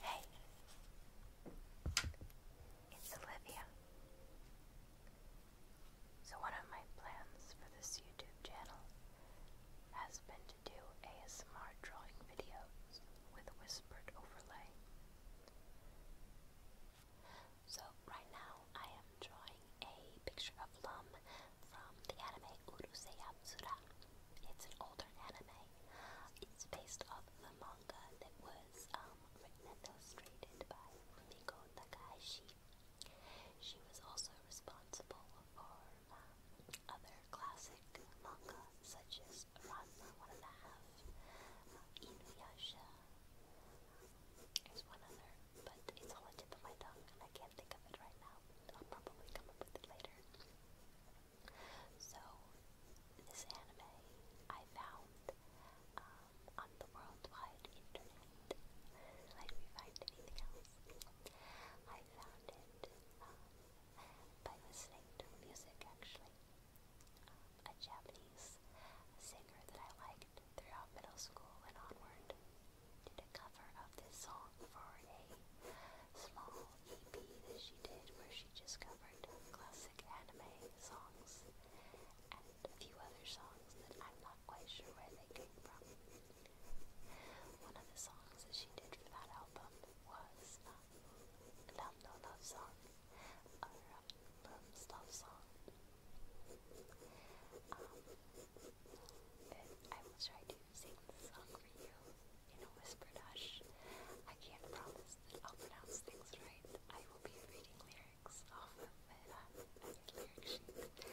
Hey, it's Olivia. So, one of my plans for this YouTube channel has been to do ASMR drawing videos with whispered overlay. So, right now I am drawing a picture of Lum from the anime Urusei Yatsura. It's an older anime. It's based off the manga that was um, written and illustrated by Rumiko Takahashi. She was also responsible for um, other classic manga such as Ranma One and a Half, uh, Inuyasha. There's um, one other, but it's on the tip my tongue and I can't think of it right now. I'll probably come up with it later. So this anime I found um, on the worldwide internet. Like we find anything else. I found it um, by listening to music actually. Um, a Japanese singer that I liked throughout middle school and onward did a cover of this song for a small EP that she did where she just covered classic anime songs and a few other songs that I'm not quite sure where they came from. One of the songs that she did for that album was um, Love No Love Song or um, Love's Love Song. Um, I will try to sing the song for you in a whispered hush. I can't promise that I'll pronounce things right. I will be reading lyrics off of my, uh, lyric sheet, but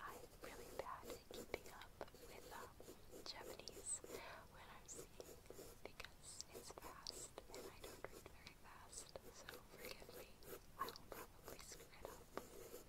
I'm really bad at keeping up with um, Japanese when I'm singing because it's fast and I don't read very fast, so forgive me. I will probably screw it up.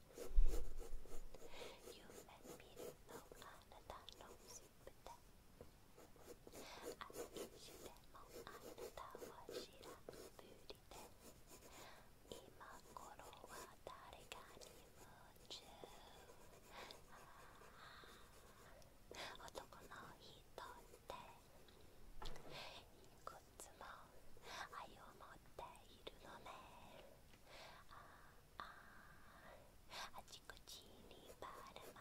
You and me to know another long sleep day. I wish you the long another was she a beauty day. 今頃は誰かに夢中男の人っていくつも愛を持っているのねああちこちにばらまい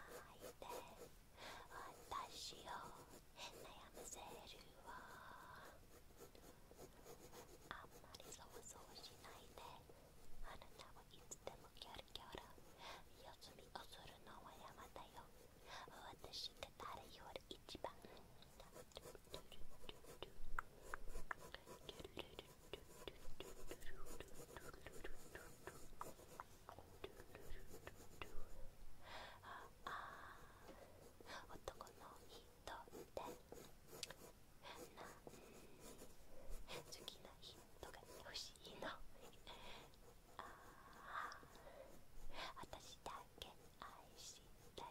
て私を悩ませるわあんまりそわそわしないであなたはいつでもキョロキョロ四つみをするのは山だよ私が誰より一番ああ男の人ってなん好きな人が欲しいのああ私だけ愛したよ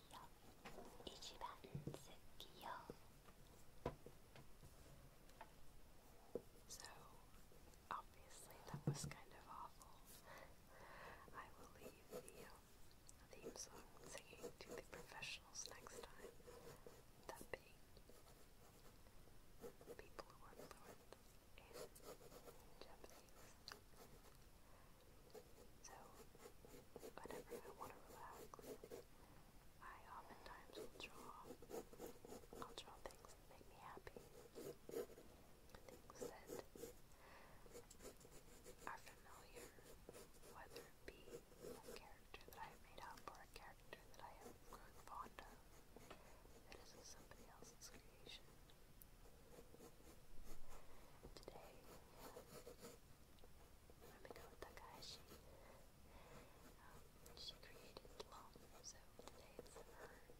一番好きよ So, obviously that was kind of awful. I will leave the uh, theme song singing to the professionals next time. That being people who are fluent in Japanese. So, whenever I want to relax, I oftentimes will draw. I'll draw things that make me happy. Things that are familiar, whether be a character that I have made up or a character that I have fond of that isn't somebody else's creation. Today, Rumiko Takahashi. Um, she created Lon, so it's her character.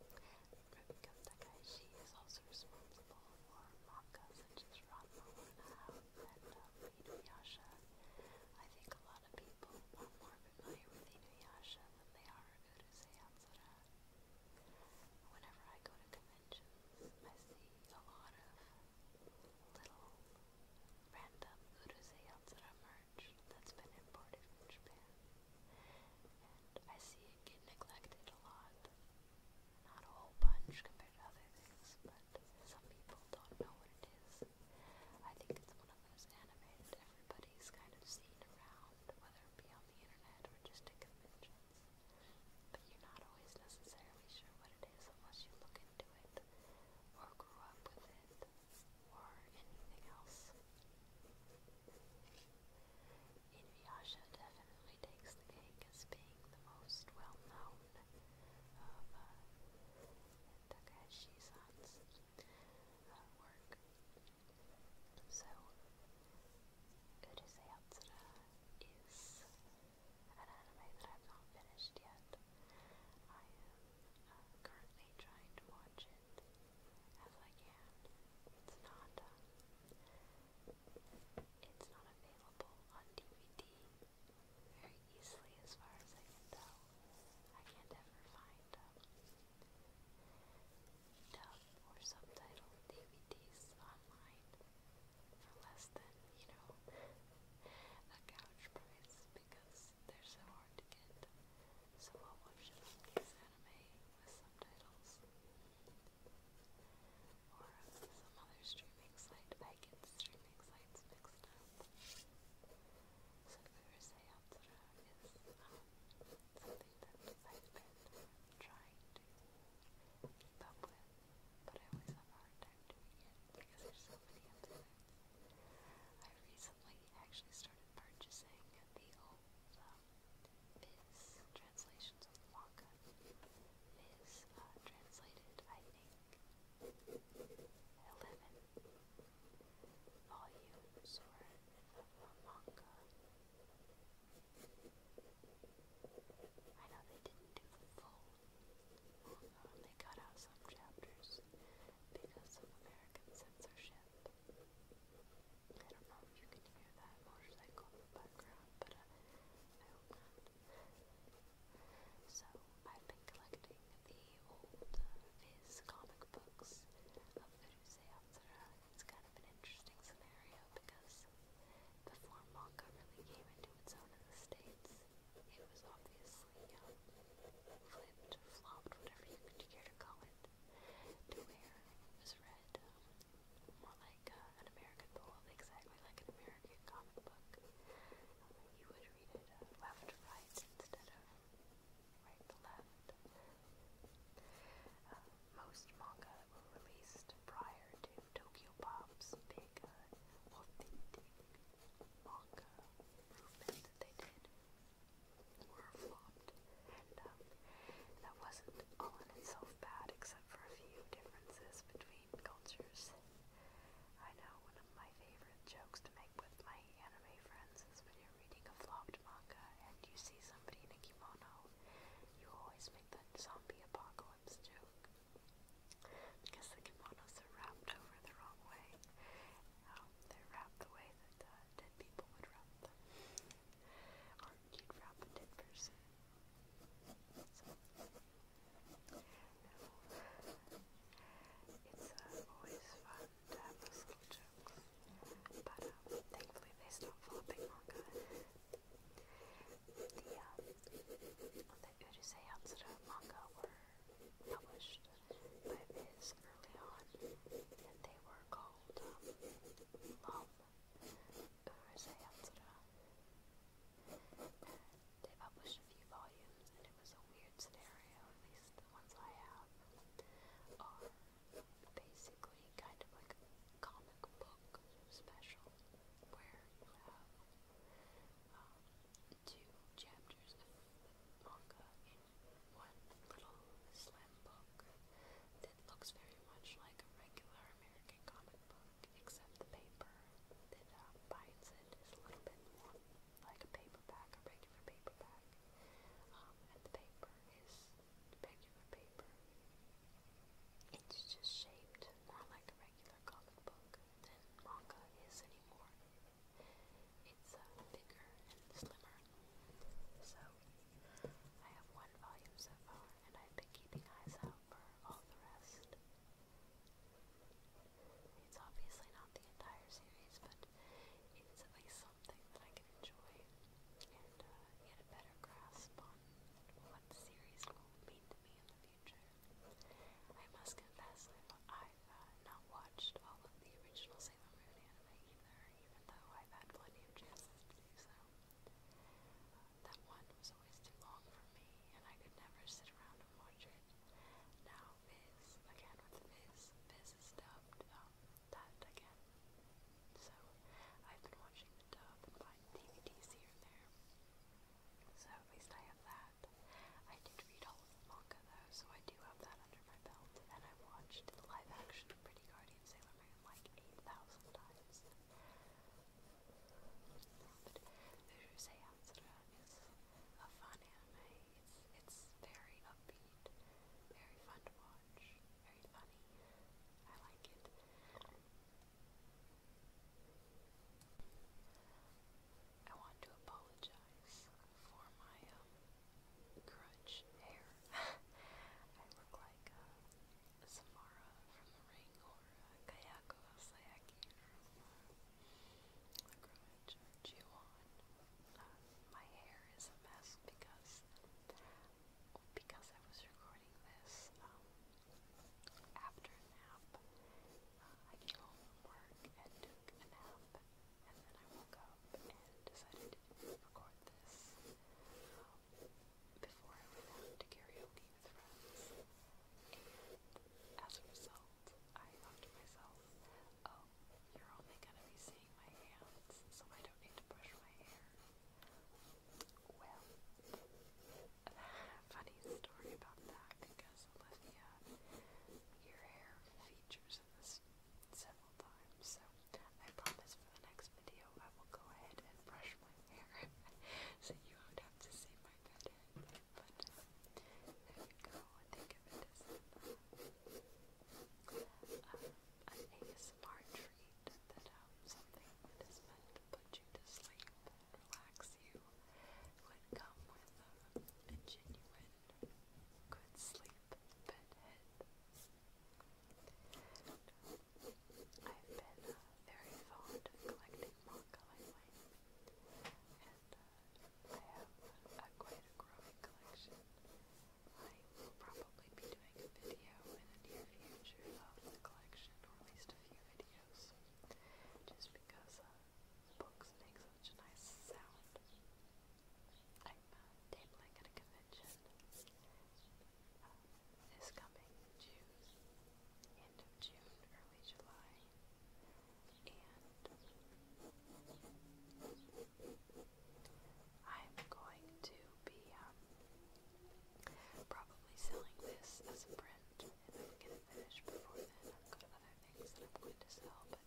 Rumiko Takahashi is also responsible for manga such as Ranma and Inuyasha. I think a lot of people are more familiar with Inuyasha than they are Urusei Yatsura. Whenever I go to dimensions, I see a lot of little random uruseyans that emerge that's been imported from Japan. And I see it neglected a lot. Not a whole bunch compared to other things, but some people don't know what it is. I think it's one of those anime everybody's kind of seen around, whether it be on the internet or just a convention. But you're not always necessarily sure what it is unless you look into it, or grew up with it, or anything else. Inuyasha definitely takes the cake as being the most well-known of uh, Takahashi-san's uh, work. So, Good as Yatsura is an anime that I've not finished yet. I am currently trying to watch it as I can. It's not it's not available on DVD very easily as far as I can tell. I can't ever find dub or subtitle DVDs online for less than, you know, a couch price because they're so hard to get. So I'll anime with subtitles. Or uh, some other streaming site. I get streaming sites mixed up. So Kurosei Yatsura is um, something that I've been trying to keep up with, but I always have a hard time doing it because there's so many episodes. I recently actually started purchasing the old um, translations of Waka. Viz translated, I think, 11 volumes or a manga. I know they didn't do the full uh, they cut out some chapters because of American censorship. I don't know if you can hear that motorcycle in the background, but uh, So, I've been collecting the old uh, Viz comic books of Urusei Hatsura it's kind of an interesting scenario because before manga really came into its own in the States, it was obviously um, flipped, flopped, whatever you care to call it, to where it was read um, more like uh, an American poem, exactly like an American comic book. Um, you would read it uh, left to right instead of right to left. Uh, most manga released prior to Tokyo Pop's big manga movement that they did were flopped. And um, that wasn't all in itself bad, except for a few differences between cultures. I know one of my favorite jokes to make with my anime friends is when you're reading a flopped manga and you see somebody in a kimono, you always make the zombie apocalypse Phillips joke because the kimonos are wrapped over the wrong way. Um, they're wrapped the way that uh, dead people would wrap them, or you'd wrap a dead person. So, no. It's uh, always fun to have those little jokes, but um, thankfully they stopped flopping manga. The, um, the Urusei manga were published by Viz early on, and they were called um, They published a few volumes, and it was a weird scenario, at least the ones I have, are basically kind of like comic book special where you have um, two chapters of manga in one little slim book that looks very much like a regular American comic book, except the paper that um, binds it is a little bit more like a paperback, a paperback. Um, and the paper is paper. It's just shaped more like a regular comic book than manga is anymore. It's uh, bigger and slimmer. So, I have one volume so far, and I've been keeping eyes out for all the rest. It's obviously not the entire series, but it's at least something that I can enjoy. Uh, get a better grasp on what the series will mean to me in the future. I must confess that I've uh, not watched all of the original Sailor Moon anime either, even though I've had plenty of chances to do so. Uh, that one was always too long for me, and I could never sit around and watch it. Now, Viz, again with Viz, Viz is dubbed, um, that again. So, I've been watching the dub and buying DVDs here and there. So at least I have that. I did read all of the manga though, so I do have that under my belt. And I watched the live action Pretty Guardian Sailor Moon like 8,000 times. But Uju Seyansura is a fun anime. It's, it's very upbeat, very fun to watch, very funny. I like it. I want to apologize for my um, grudge hair. I look like uh, Samara from The Ring or uh, Kayako Sayaki from uh, The Grudge Jiwon. my hair is a mess because because I was recording this um, after a nap, uh, I came home from work and took a nap, and then I woke up and decided to record this um, before I went to karaoke with friends. And as a result, I thought to myself, oh, you're only going to be seeing my hands, so I don't need to brush my hair. Well, funny story about that because Olivia, your hair features this several times. So I promise for the next video I will go ahead and brush my hair so you won't have to see my bed head. But uh, there you go. think of it as uh, an, uh, treat that um, something that is meant to put you to sleep relax you would come with a, genuine good sleep bedhead. I've been uh, very fond of collecting manga lately, and uh, I have quite a growing collection. I will probably be doing a video in the near future of the collection, or at least a few videos videos just because uh, books make such a nice sound. I'm uh, tabling at a uh, this coming June, end of June, early July, and I'm going to be um, probably selling this as a print if I can finish before then, I've got other things that I'm going to sell, but I would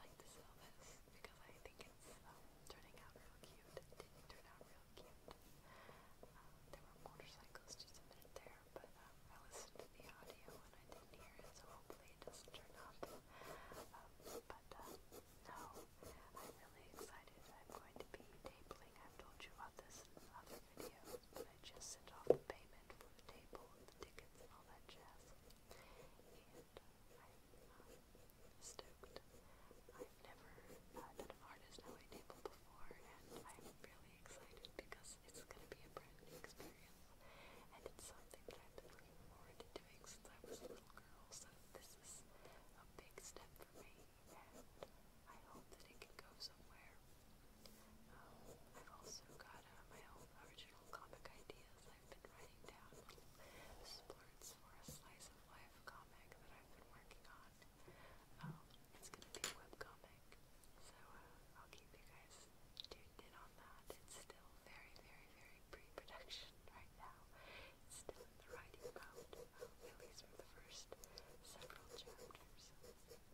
like to sell this because I think it's um, turning out real cute. It did out real cute. Um, there were motorcycles just a there, but um, I listened to the audio and I didn't hear it, so hopefully it doesn't turn up. but uh, no, I'm really excited. I'm going to be tabling. I've told you about this in other videos. I just sent off the payment for the table and the tickets and all that jazz. And uh, I'm uh, stoked. I've never done an artist LA table before, and I'm really excited because it's going to be a brand new experience. And it's something that I've been looking forward to doing since I was a little girl, so this is a big step for me and I hope that it can go somewhere. Um, I've also got uh, my own original comic ideas I've been writing down little splurts for a slice of life comic that I've been working on. Um, it's gonna be webcomic, so uh, I'll keep you guys tuned in on that. It's still very, very, very pre-production right now. still in the writing mode, at least the first several chapters. So, I'll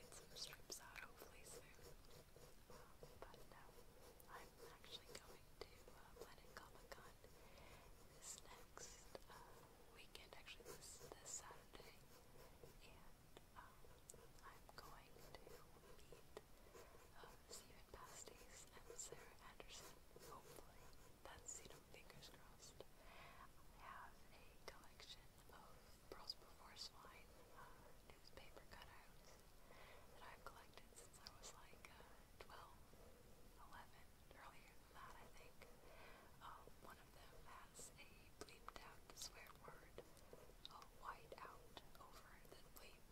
get some strips out hopefully soon. Um, but no, I'm actually going to uh, Comic Con this next uh, weekend, actually this, Saturday. And um, I'm going to meet uh, Stephen Pasties and Sarah Anderson, hopefully. That's, you fingers crossed. I have a collection of Pearls Before Swine uh, newspaper cutouts that I've collected since I was like uh, earlier that I think. Um, one of them has a bleeped out swear word, a white out over the bleep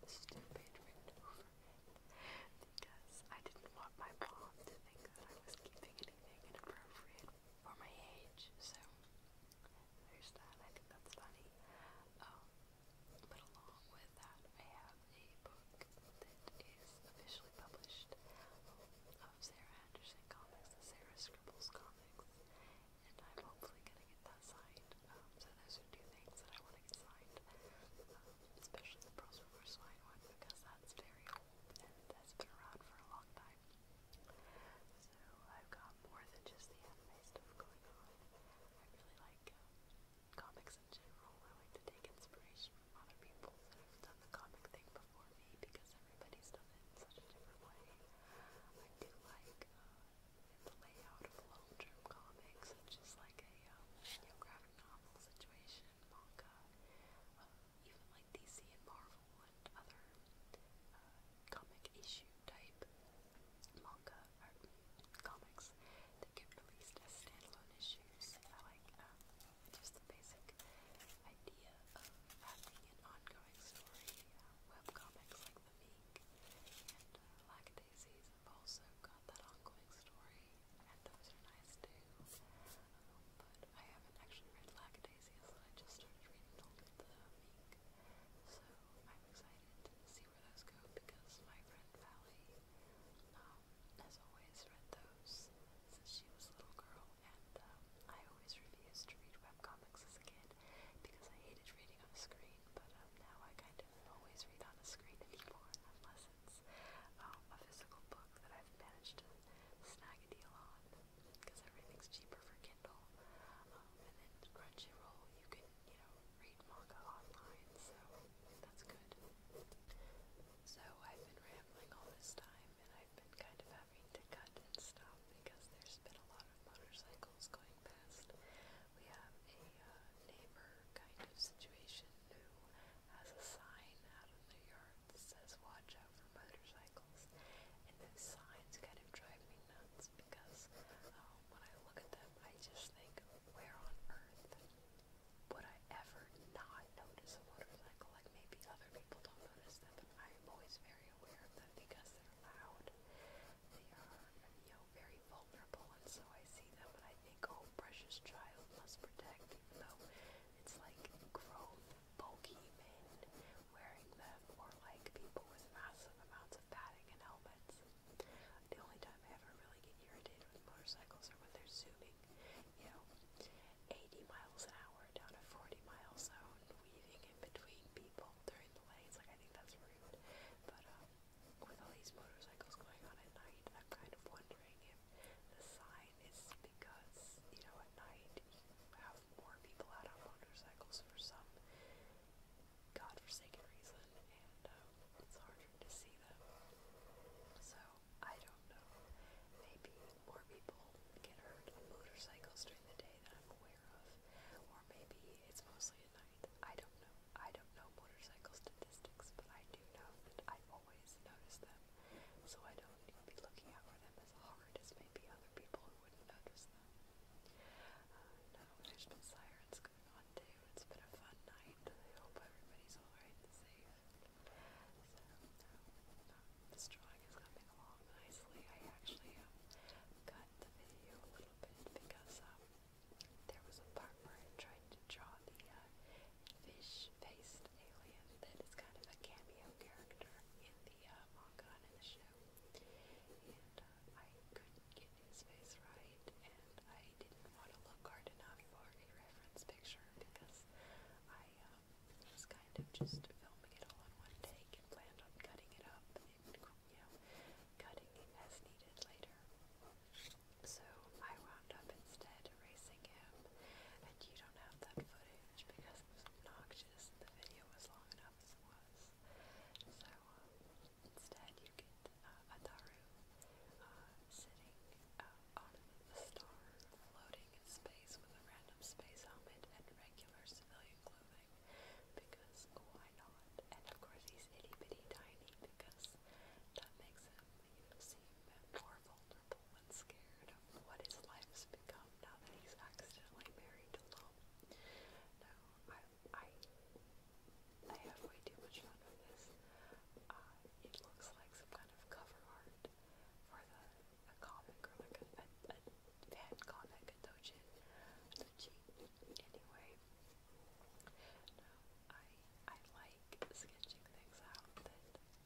with stupid written over because I didn't want my mom to think that I was keeping anything inappropriate for my age, so there's that. I think that's funny. Um, but along with that, I have a book that is officially published um, of Sarah Anderson comics, the Sarah Scribbles comics, and I'm hopefully gonna get that signed. Um, so those are two things that I want to get signed, especially the Pearls Before one because that's very and that's been around for a long time. So I've got more than just the anime stuff going on. I really like um, comics in general. I like to take inspiration from other people that have done the comic thing before me because everybody's done it in such a different way. I do like uh, the layout of long-term comics, which is like a um, you know, graphic novel situation and manga, um, even like DC and Marvel and other uh, comic issue type manga or comics that get released as standalone issues. I like um, just the basic idea of having an ongoing story, uh, web comics like The Meek and uh, have also got that ongoing story, and those are nice too phenomenal, but I haven't actually read Lackadaisias, so I just started reading the, the Meek, so I'm excited to see where those go because my friend Valley um, has always read those since she was a little girl, and um, I always refused to read webcomics as a kid because I hated reading on a screen, but um, now I kind of always read on a screen anymore unless since um, a physical book that I've managed to snag a deal on because everything's cheaper for Kindle. Um, and then Crunchyroll, you can, you know, read manga online, so that's good. So I've been rambling all this time, and I've been kind of having to cut and stop because there's been a lot of motorcycles going past. We have a uh, neighbor kind of situation who has a sign out of their turn that says watch out for motorcycles. And those signs kind of drive me nuts because um, when I look at them, I just think, where on earth would I ever not notice a motorcycle? Like maybe other people don't notice them, but I'm always very aware of them because they're loud. They are, you know, very vulnerable, and so I see them and I think, oh, precious child must protect, even though it's like grown, bulky men wearing them, or like people with massive amounts of padding and helmets. The only time I ever really get irritated with motorcycles are when they're zooming, you know, 80 miles an hour down a 40 mile zone, weaving in between people during the lanes. Like, I think that's rude. But, um, with all these motorcycles going on at night, I'm kind of wondering if the sign night is because, you know, at night you have more people out on motorcycles for some godforsaken reason, and um, it's harder to see them. So, I don't know. Maybe more people get hurt on motorcycles during the day than I'm aware of, or maybe it's mostly at night. I don't know. I don't know motorcycle statistics, but I do know that I've always notice them, so I don't need to be looking for them as hard as maybe other people who wouldn't notice them. Uh, no, there's been sirens going on too. It's been a fun night. I hope everybody's alright and safe. So, no, drawing is coming along nicely. I actually um, cut the video a little bit because um, there was a part where I tried to draw the uh, fish-faced alien that is kind of a cameo character in the uh, manga in the show. And uh, I couldn't get his face right, and I didn't want to look hard enough for a reference picture because I um, was kind of just filming it all in one take and planned on cutting it up and, you know, cutting it as needed later. So I wound up instead racing him, and you don't have that footage because it was obnoxious and the video was long enough as it was. So um, instead, you get uh, Ataru uh, sitting uh, on a star, floating in space with a random space helmet and regular civilian clothing because why not? And of course, he's itty bitty tiny because that makes him you seem more vulnerable when scared what his life's become now that he's accidentally married to Lum. No, I, I, I have way too much fun with this. it looks like some kind of cover art for the a comic a, fan comic, a dojin, Anyway, no, I I like sketching things out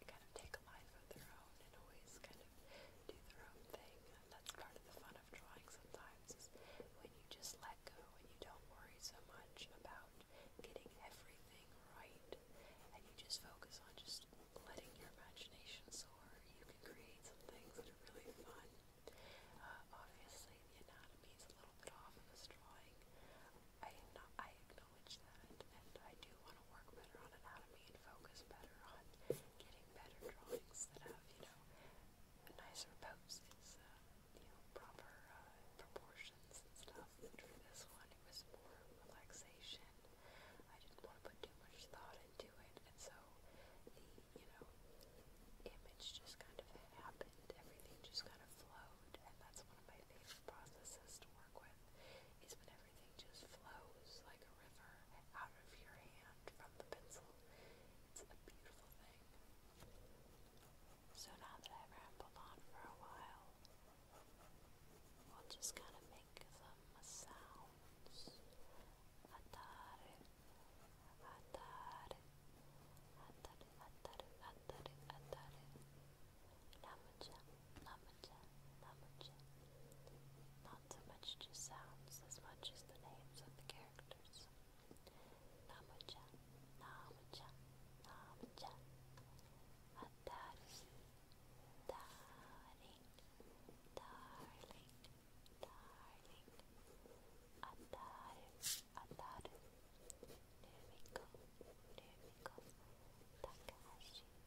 kind of take a life of their own and always kind of do their own thing. that's part of the fun of drawing sometimes when you just let go and you don't worry so much about getting everything right and you just focus on just letting your imagination soar. You can create some things that are really fun. Uh, obviously the anatomy a little bit off of this drawing. I, not, I acknowledge acknowledge that, and I do want to work better on anatomy and focus better on getting better drawings that have, you know, a nicer poses, uh, you know, proper uh, proportions and stuff. But for this one, it was more relaxation. I didn't want to put too much thought into it, and so the, you know, image just kind of happened. Everything just kind of flowed, and that's one of my favorite processes to work with is when everything everything just flows like a river out of your hand from the pencil. It's a beautiful thing. So now that I've rambled on for a while, we'll just kind of make some sounds. Atare, atare, atare, atare, atare, atare. Namaja, Namaja, Namaja. Not so much just sounds as much as the names of the characters. Namaja, Namaja, Namaja. Atari, darling, darling, darling. Atari, Atari. Numiko, Numiko, Takahashi. Takahashi,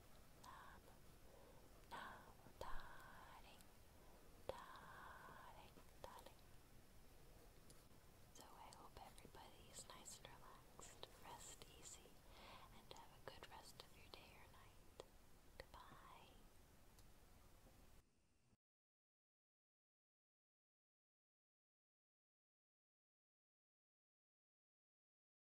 So I hope everybody's nice and relaxed, rest easy, and have a good rest of your day or night. Goodbye.